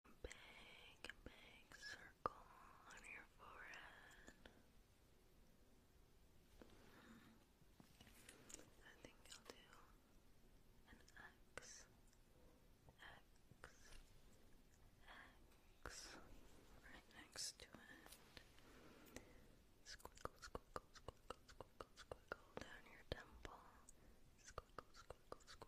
big, big circle on your forehead. I think you'll do an X, X, X right next to it. Squiggle, squiggle, squiggle, squiggle, squiggle down your temple. Squiggle, squiggle, squiggle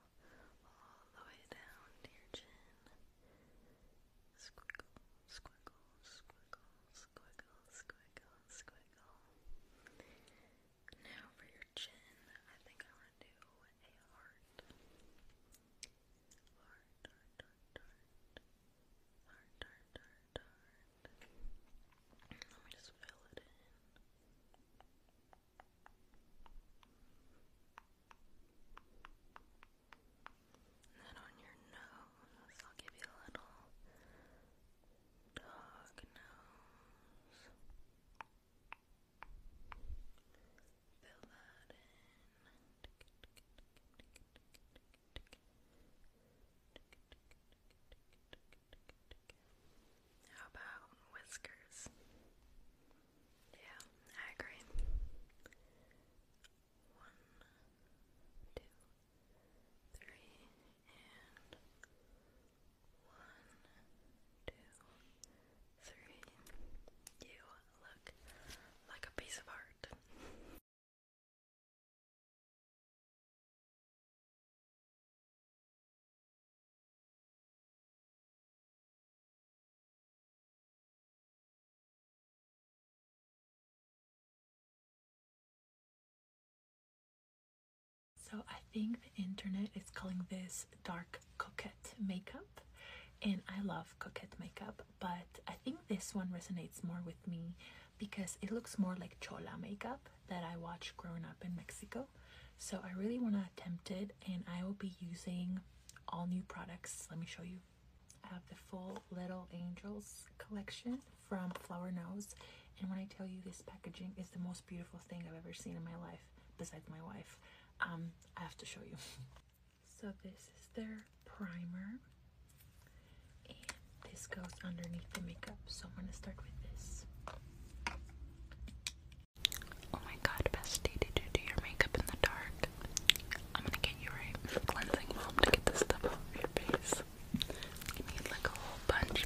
all the way down to chin. Squiggle, squiggle, squiggle, squiggle, squiggle, squiggle. Now for your chin, I think I want to do a heart. Heart, heart, heart, heart. Heart, heart, heart, heart. Let me just fill it in. And then on your nose, I'll give you a little dog nose. Fill that in. How about whiskers? Yeah, I agree. One, two, three, and one, two, three. You look like a piece of art. So I think the internet is calling this dark coquette makeup and I love coquette makeup but I think this one resonates more with me because it looks more like chola makeup that I watched growing up in Mexico. So I really want to attempt it and I will be using all new products. Let me show you. I have the full Little Angels collection from Flower Nose. And when I tell you this packaging is the most beautiful thing I've ever seen in my life, besides my wife, um, I have to show you. so this is their primer. And this goes underneath the makeup. So I'm going to start with this. Oh my god, bestie, did you do your makeup in the dark? I'm gonna get you right cleansing mom to get this stuff off your face. You need like a whole bunch.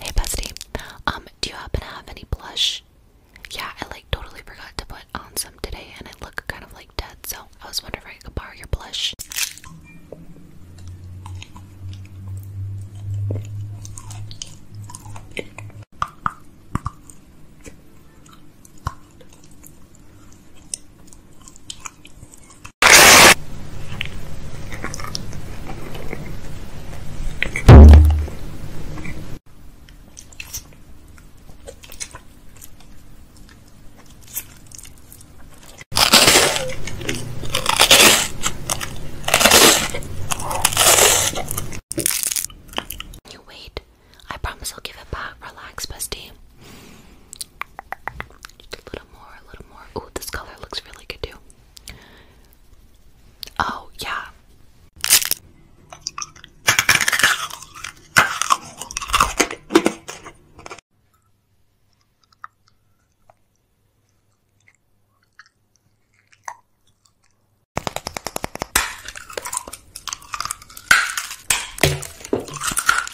Hey bestie, um, do you happen to have any blush? Yeah, I like totally forgot to put on some today, and I look kind of like dead. So I was wondering if I could borrow your blush. You wait. I promise I'll give it back. Relax, bestie. Just a little little more, a little more. Ooh, this color looks really good too. Oh, yeah.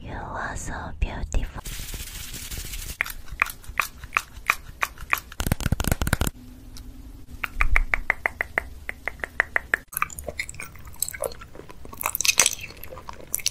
You are so beautiful.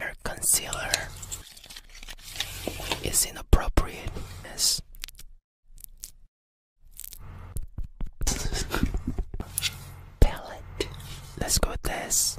Her concealer is inappropriate. Palette. Let's go this.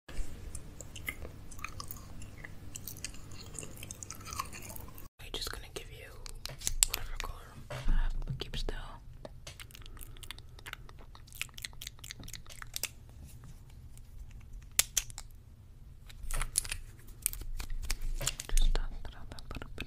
I'm just gonna give you whatever color keep still. Just dot it up a little bit.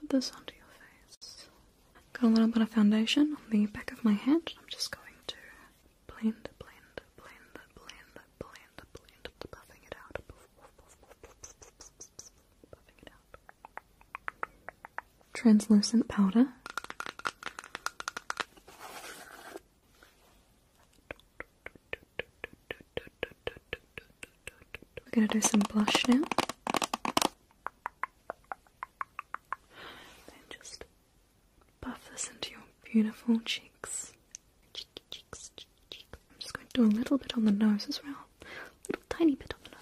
Put this onto your face. Got a little bit of foundation on the back of my hand. I'm just going to blend, blend, blend, blend, blend, blend, buffing it out translucent powder. We're going to do some blush now. Then just buff this into your beautiful cheeks. cheeks, cheeks. I'm just going to do a little bit on the nose as well. A little tiny bit on the nose.